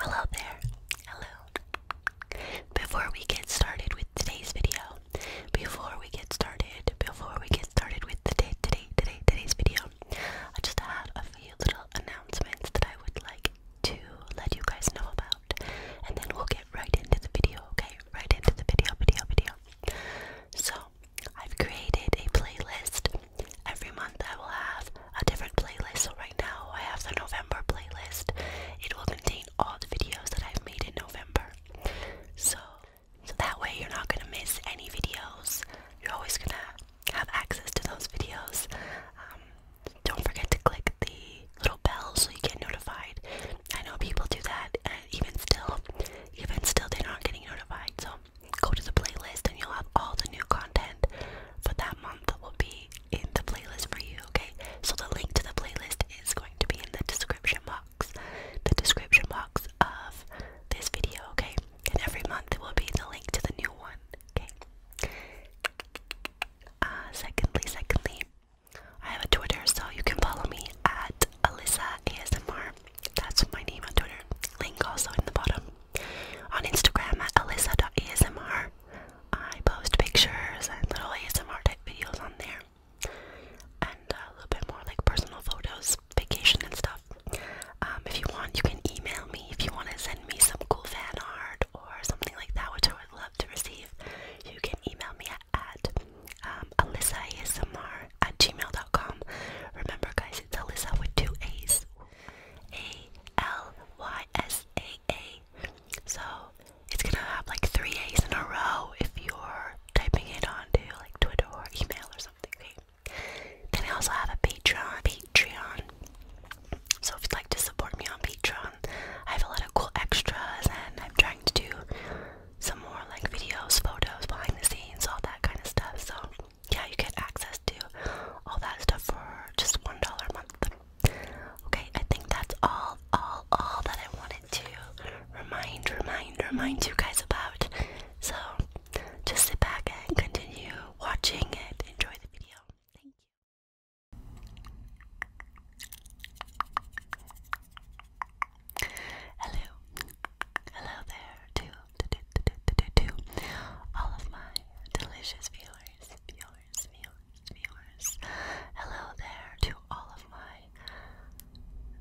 Hello there. Hello. Before we get started with today's video, before we get started, before we get started with today, today, today, today's video, I just had a few little announcements that I would like to let you guys know about, and then we'll get right into the video. Okay, right into the video, video, video. So I've created a playlist. Every month I will have a different playlist. So right now I have the November playlist. It will contain all the videos that I've made in November. So that way you're not gonna miss any videos. You're always gonna have access to those videos. Um, don't forget to click the little bell so you get notified. I know people do that, and even still, even still, they're not getting notified. So go to the playlist and you'll have all the new content for that month that will be in the playlist for you, okay? So the link to the playlist is going to be in the description box. The description box of this video, okay? And every month it will be the link to the new one, okay? Uh, secondly, secondly, I have a Twitter, so you can follow me at Alyssa ASMR. That's my name on Twitter. Link also in the bottom. On Instagram at alyssa.asmr. I post pictures and little ASMR type videos on there. And a little bit more like personal photos, vacation and stuff. Um, if you want, you can email me if you want to send me some cool fan art or something like that, which I would love to receive. You can email me at, at um, alyssa ASMR at gmail.com. Remember, guys, it's Alyssa with two A's. A L Y S A A. So it's gonna have like three A's in a row if you're typing it onto like Twitter or email or something. Okay? Then I also have a Patreon. Patreon. So if you'd like to support me on Patreon, I have a lot of cool extras and I'm trying to do some more like videos, photos, behind the scenes, all that kind of stuff. So yeah, you get access to all that stuff for just one dollar a month. Okay, I think that's all, all, all that I wanted to remind, remind, remind you guys about. So just sit back and continue watching and enjoy the video. Thank you. Hello, hello there to, to, to, to, to, to all of my delicious viewers, viewers, viewers, viewers. Hello there to all of my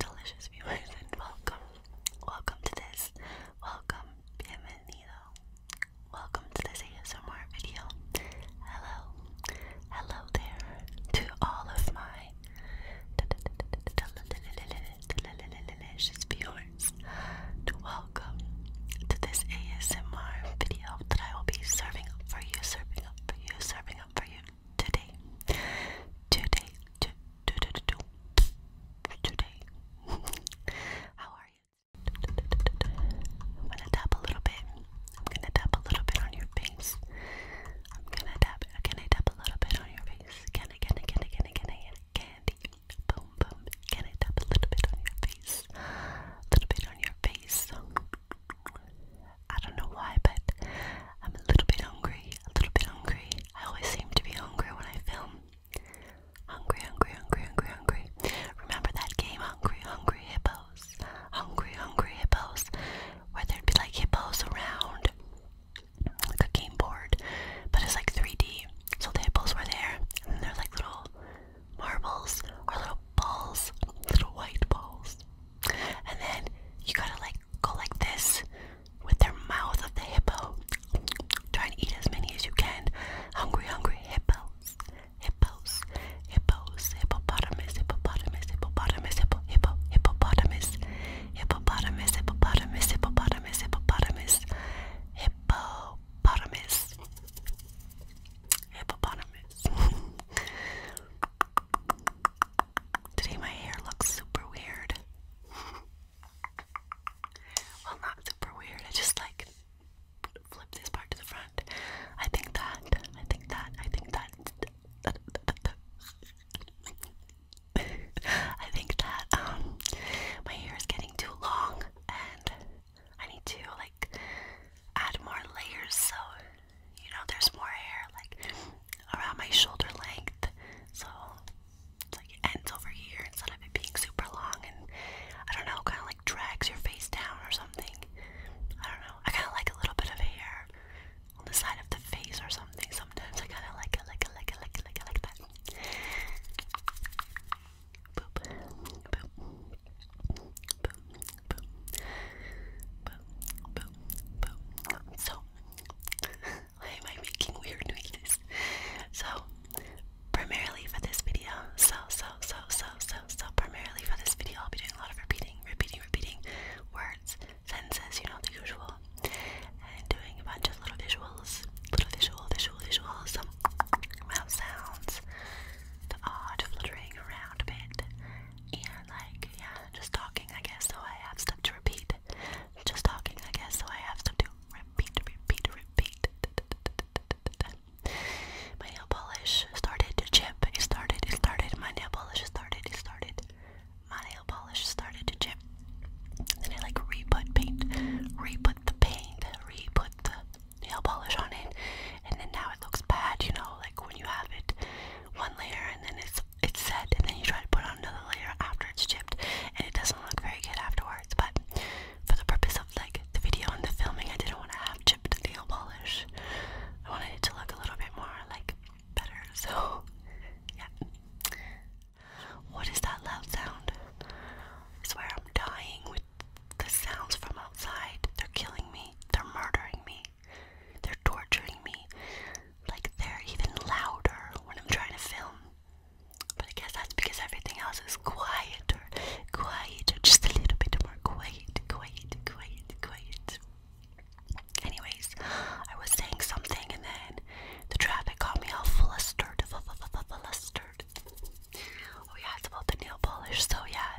delicious viewers and welcome, welcome to this, welcome, bienvenido, welcome to this ASMR video. Hello, hello there to all of my She's yours welcome to this ASMR video that I will be serving up for you, serving up for you, serving up for you today. Today, today. How are you? I'm gonna tap a little bit. I'm gonna tap a little bit on your face. I'm gonna tap. Can I tap a little bit on your face? face. Can I, can I, can I, can I, can I, candy? Boom, boom. Can I tap a little bit on your face? A little bit on your face. I don't know why, but I'm a little bit hungry. A little bit hungry. I always seem to be hungry when I film. Hungry, hungry, hungry, hungry, hungry. Remember that game, Hungry, Hungry Hippos? Hungry, Hungry Hippos, where there'd be like hippos around like a game board, but it's like 3D. So tables were there, and there's like little marbles or little balls, little white balls. And then you gotta like go like this with their mouth of the hippo. Try and eat as many as you can. Hungry, hungry hippos, hippos, hippos, hippopotamus, hippopotamus, hippopotamus, hippo, hippo, hippopotamus, hippopotamus, hippopotamus, hippopotamus, hippopotamus, hippopotamus, hippopotamus. Today my hair looks super weird. well, not super weird. I just like flip this part to the front. I think that. I think that. I think that. I think that um my hair is getting too long and I need to like add more layers so you know there's more hair like around my shoulder length so it's like it ends over here instead of it being super long and I don't know kind of like drags your face down or something I don't know I kind of like a little bit of hair on the side of the face or something. Sometimes I kind of like it, like it, like it, like it, like it, like that. Boop, boop, boop, boop, boop, boop, boop. So, why am I making weird noises? So, primarily for this video, so, so, so, so, so, so, primarily for this video, I'll be doing a lot of repeating, repeating, repeating words Senses, you know, the usual. And doing a bunch of little visuals, little visual, visual, visual, some mouth sounds, the odd fluttering around a bit, and like, yeah, just talking, I guess, so I have stuff to repeat. Just talking, I guess, so I have stuff to repeat, repeat, repeat. repeat. My nail polish started to chip. It started, it started, my nail polish started, it my nail polish started to chip. Then I like re-put paint, re the paint, re the nail polish on it, and then now it looks bad, you know, like when you have it one layer and then it's it's set, and then you try to put on another layer after it's chipped, and it doesn't look very good afterwards. But for the purpose of like the video and the filming, I didn't want to have chipped nail polish. I wanted it to look a little bit more like better, so yeah. What is that loud sound? I swear I'm dying with the sounds from outside. They're killing me. They're murdering me. They're torturing me. Like they're even louder when I'm trying to film. But I guess that's because everything else is quieter. Quieter. Just a little bit more quiet. Quiet. Quiet. Quiet. Anyways, I was saying something and then the traffic got me all flustered. F -f -f flustered. Oh, the nail polish. So, yeah,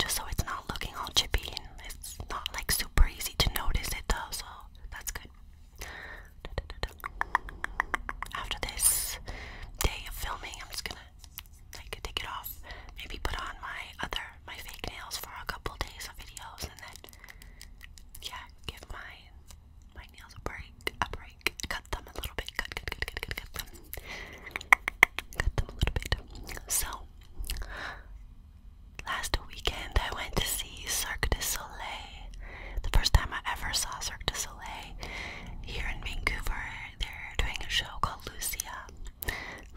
just so it's not looking all chippy it's not like super easy to notice it though. So, that's good. After this day of filming, I'm just gonna like take it off. Maybe put on my other my fake nails for a couple days of videos and then yeah, give my my nails a break, a break. Cut them a little bit. Cut, cut, cut, cut, cut, cut them. Cut them a little bit. So last weekend I went to see Cirque du Soleil. The first time I ever saw Cirque du Soleil here in Vancouver. They're doing a show called Lucia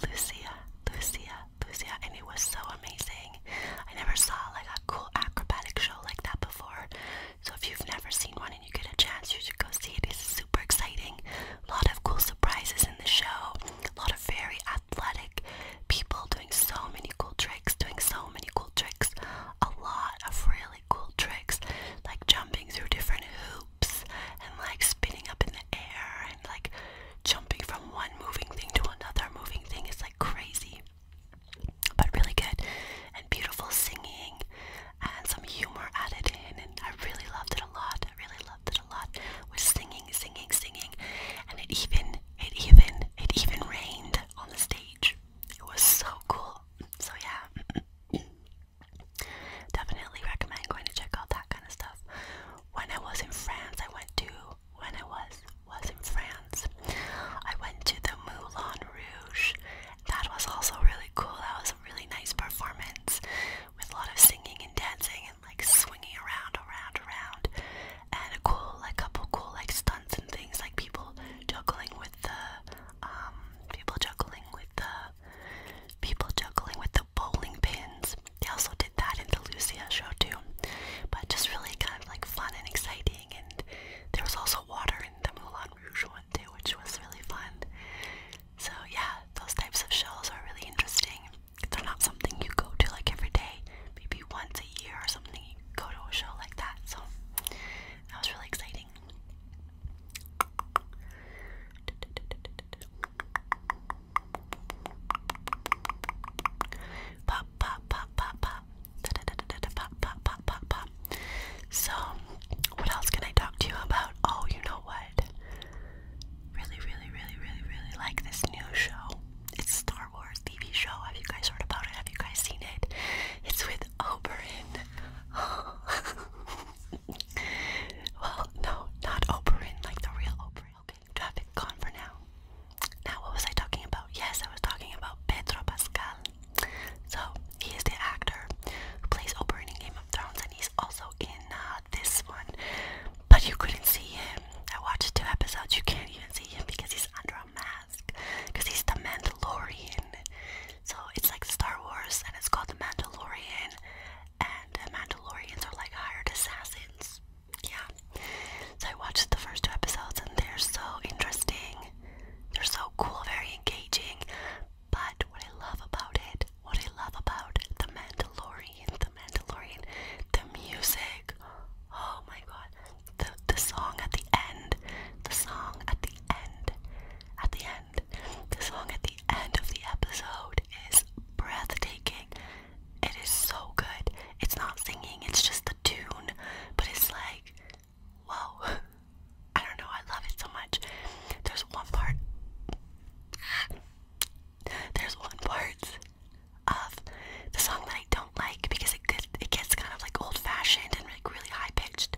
Lucia, Lucia, Lucia, and it was so amazing. I never saw like a cool acrobatic show like that before. So if you've never seen one and you get a chance, you should go see it. It's super exciting. A lot of cool surprises in the show. A lot of very athletic people doing so many cool tricks, doing so many cool tricks. A lot of really cool tricks, like jumping through different hoops and like spinning up in the air and like jumping from one moving thing to another moving thing is like crazy but really good and beautiful singing and some humor added in and I really loved it a lot I really loved it a lot it was singing singing singing and it even it even it even rained on the stage it was so cool so yeah Definitely recommend going to check out that kind of stuff. When I was in France, I went to when I was was in France, I went to the Moulin Rouge. That was also really cool. That was a really nice performance with a lot of singing and dancing and like swinging around, around, around, and a cool like couple cool like stunts and things like people juggling with the um, people juggling with the people juggling with the bowling pins. They also did that in the Lucia show too. But just really kind of like fun and exciting and there was also water in the Moulin Rouge one too, which was really fun. So yeah, those types of shows are really interesting. They're not something you go to like every day. Maybe once a year or something you go to a show like that. So that was really exciting. Pop, pop, pop, pop, pop. Da, da, da, da, da, pop, pop, pop, pop, pop. So, what else can I talk to you about? Oh, you know what? Really, really, really, really, really like this new show. It's a Star Wars TV show. Have you guys heard about it? Have you guys seen it? It's with Oberyn. well, no, not Oberyn, like the real Oberyn. Okay, traffic gone for now. Now, what was I talking about? Yes, I was talking about Pedro Pascal. So, he is the actor who plays Oberyn in Game of Thrones, and he's also in uh, this one. But you couldn't see him. I watched two episodes, you can't even see him because he's under a mask. Because he's the Mandalorian. So it's like Star Wars and it's called The Mandalorian and the Mandalorians are like hired assassins. Yeah. So I watched the first two episodes and they're so interesting. They're so cool, very engaging. But what I love about it, what I love about The Mandalorian, The Mandalorian, the music. Oh my god. The the song at the end. The song at the end. At the end. The song at the end of the episode is breathtaking. It is so good. It's not singing, it's just the tune, but it's like, whoa. I don't know, I love it so much. There's one part. There's one part of the song that I don't like because it gets, it gets kind of like old fashioned and like really high pitched.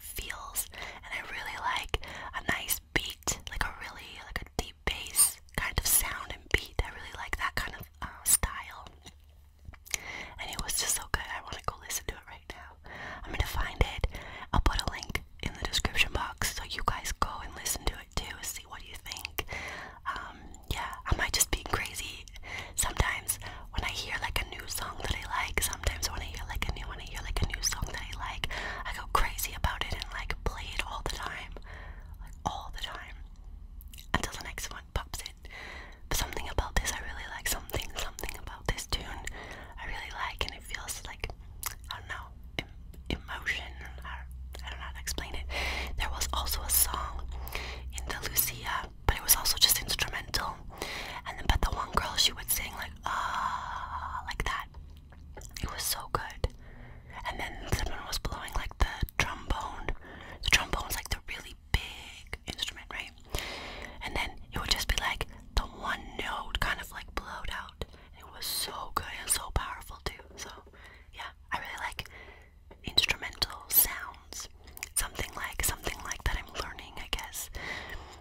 feels and I really like a nice beat, like a really like a deep bass kind of sound and beat. I really like that kind of uh, style. And it was just so good. I want to go listen to it right now. I'm gonna find it. I'll put a link in the description box so you guys go and listen to it too, see what you think. Um, yeah, I might just be crazy. Sometimes when I hear like a new song that I like, sometimes when I hear like a new one when I like a new song that I like, I go crazy about it and like play it all the time. Like all the time. Until the next one pops in. But something about this I really like. Something, something about this tune I really like and it feels like I don't know, emotion. I don't, know how to explain it. There was also a song in the Lucia, but it was also just instrumental. And then, but the one girl, she would sing like ah, like that. It was so good. And then someone was blowing like the trombone. The trombone's like the really big instrument, right? And then it would just be like the one note kind of like blowed out. It was so good and so powerful too. So yeah, I really like instrumental sounds. Something like something like that I'm learning, I guess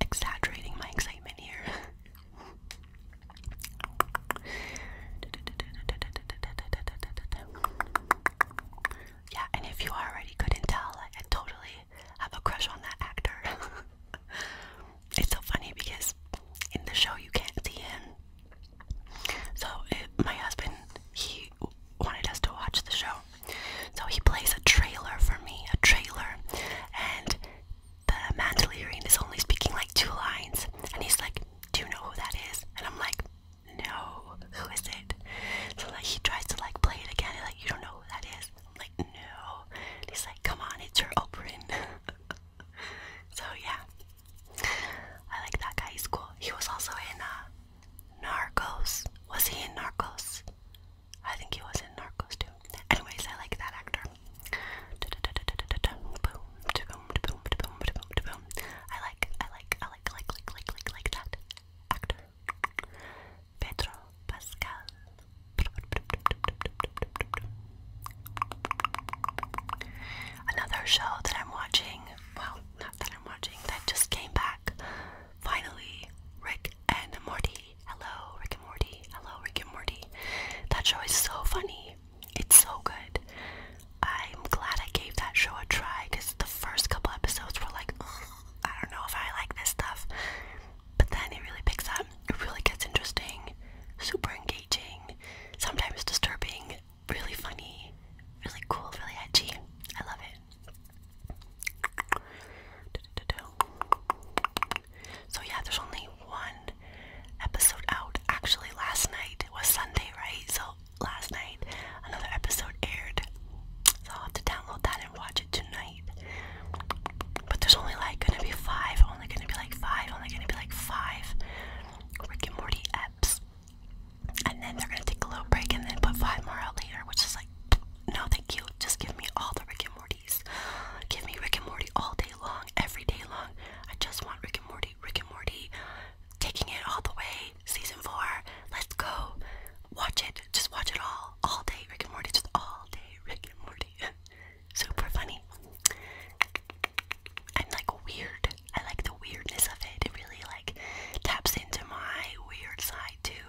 exaggerating my excitement here. yeah, and if you already couldn't tell, I, totally have a crush on that actor. it's so funny because in the show you can't see him. So my husband, he wanted us to watch the show, so he plays a trailer for me, a trailer, and the Mandalorian is only speaking like two lines, and he's like, "Do you know who that is?" And I'm like, "No, who is it?" So like he tries to like play it again, and like, "You don't know who that like, "No." And he's like, "Come on, it's your Oprah." so yeah, I like that guy. He's cool. He was also in uh, Narcos. Was he in Narcos? I think he was in Narcos too. Anyways, I like that actor. I like, I like, I like, like, like, like, like that actor. Pedro Pascal. Another show that I'm watching, well, not that I'm watching, that just came back Finally, Rick and Morty. Hello, Rick and Morty. Hello, Rick and Morty. That show is so funny. It's so good. I'm glad I gave that show a try because the first couple episodes were like, I don't know if I like this stuff. But then it really picks up. It really gets interesting, super engaging, sometimes disturbing, really funny, really cool, really edgy. I love it. So yeah, there's only one episode out. Actually, last night it was Sunday, right? So last night another episode aired. So I'll have to download that and watch it tonight. But there's only like gonna be five, only gonna be like five, only gonna be like five Rick and Morty eps and then they're gonna take a little break and then put five more out later, which is like, no, thank you. Just give me all the Rick and Morty's. Give me Rick and Morty all day long, every day long. I just want Rick and Morty, Rick and Morty, taking it all the way. Season four, let's go. Watch it, just watch it all, all day. Rick and Morty, just all day. Rick and Morty, super funny. I'm like weird, I like the weirdness of it. It really like taps into my weird side too.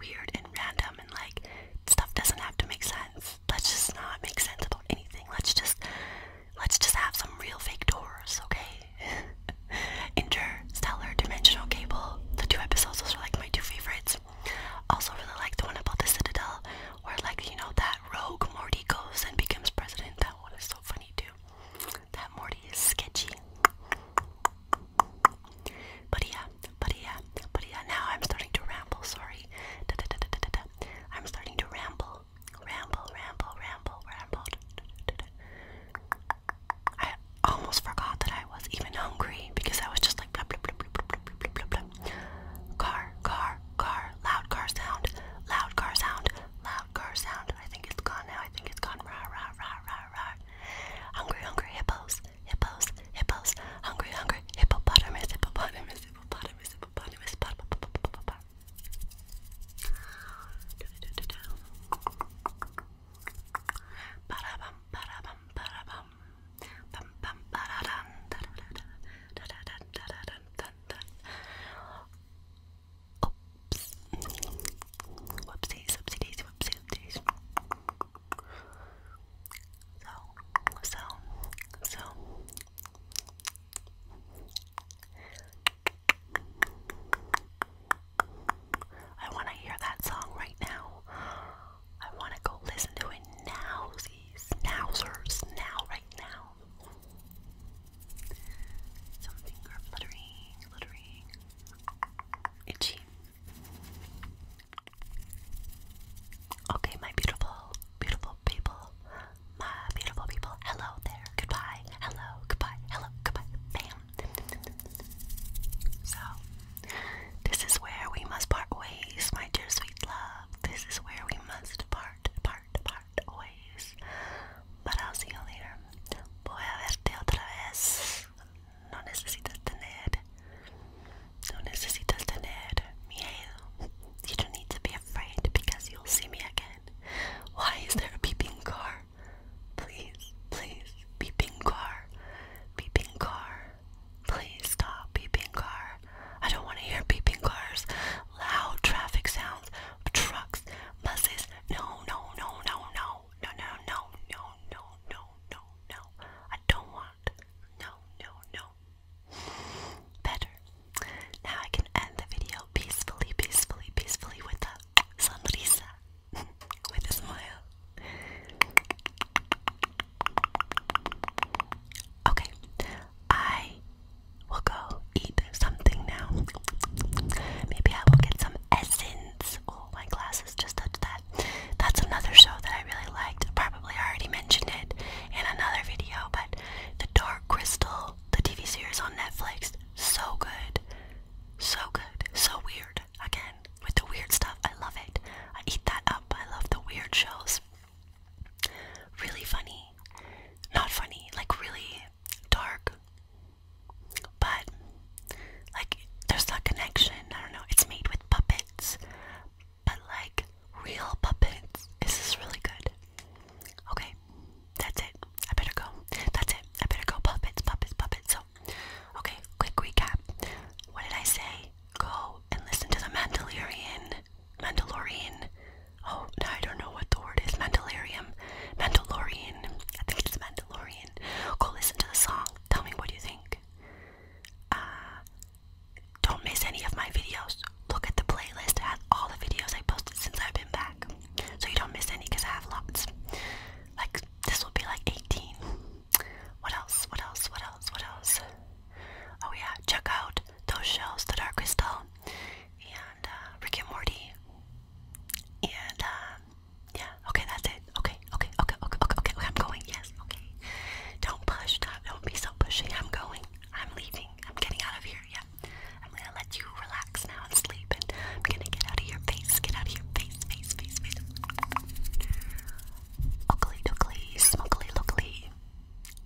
Weird and random and like stuff doesn't have to make sense. Let's just not make sense about anything. Let's just let's just have some real fake doors, okay? Interstellar dimensional cable. The two episodes those are like my two favorites. Also really like the one about the Citadel where like you know that rogue Morty goes and becomes president. That one is so funny too. That Morty is sketchy. But yeah, but yeah, but yeah, now I'm starting to ramble, sorry. I'm starting to ramble. Ramble, ramble, ramble, ramble. I almost forgot that I was even hungry because I was just like Car, car, car, loud car sound, loud car sound, loud car sound. I think it's gone now. I think it's gone. Rah, rah, rah, rah, rawr, rawr. Hungry, hungry hippos, hippos, hippos. Hungry, hungry hippopotamus, hippopotamus, hippopotamus, hippopotamus. hippopotamus. Parabam, parabam, parabam. Bum, bum, paradan. Da, da, da, da, da, da, da, da, da, da, da. Oops. Whoopsies, whoopsie daisy, whoopsie, whoopsies. So, so, so. I want to hear that song right now. I want to go listen to it now, see, snowsers, now, right now. Something are fluttering, fluttering, itchy. Okay, my beautiful, beautiful people, my beautiful people. Hello there, goodbye, hello, goodbye, hello, goodbye, bam. So, this is where we must part ways, my dear sweet love. This is where we must part, part, part always. But I'll see you later. Voy a verte otra vez. No necesitas tener. No necesitas tener miedo. You don't need to be afraid because you'll see me again. Why is there a beeping car? Please, please, beeping car. Beeping car. Please stop beeping car. I don't want to hear beeping cars, loud traffic sounds, trucks, buses, no, no, no, no, no, no, no, no, no, no, no, no, I don't want. No, no, no. Better. Now I can end the video peacefully, peacefully, peacefully with a with a smile. Okay. I We'll go eat something now. Maybe I will get some essence. Oh, my glasses just touched that. That's another show that I really liked. Probably already mentioned it in another video, but The Dark Crystal, the TV series on Netflix, so good. So good. So weird. Again, with the weird stuff. I love it. I eat that up. I love the weird shows. Really funny. Not funny, like really dark, but like there's that connection. I don't know. It's made with puppets, but like real puppets. This is really good. Okay, that's it. I better go. That's it. I better go. Puppets, puppets, puppets. So, okay, quick recap. What did I say? Go and listen to the Mandalorian. Mandalorian Oh, I don't know what the word is. Mandalorian. Mandalorian. I think it's Mandalorian. Go listen to the song. Tell me what you think. Uh, don't miss any of my videos. Look at the playlist. It has all the videos I posted since I've been back. So you don't miss any because I have lots. Like, this will be like 18. What else? What else? What else? What else? Oh, yeah. Check out those shows, The Dark Crystal. Yeah, and uh, Rick and Morty. And uh, yeah, okay, that's it. Okay, okay, okay, okay, okay, okay, I'm going. Yes, okay. Don't push, stop. Don't be so pushy. I'm going. I'm leaving. I'm getting out of here. Yeah, I'm gonna let you relax now and sleep. And I'm gonna get out of your face. Get out of your face, face, face, face. Oakley, dookly, smokely, lookly.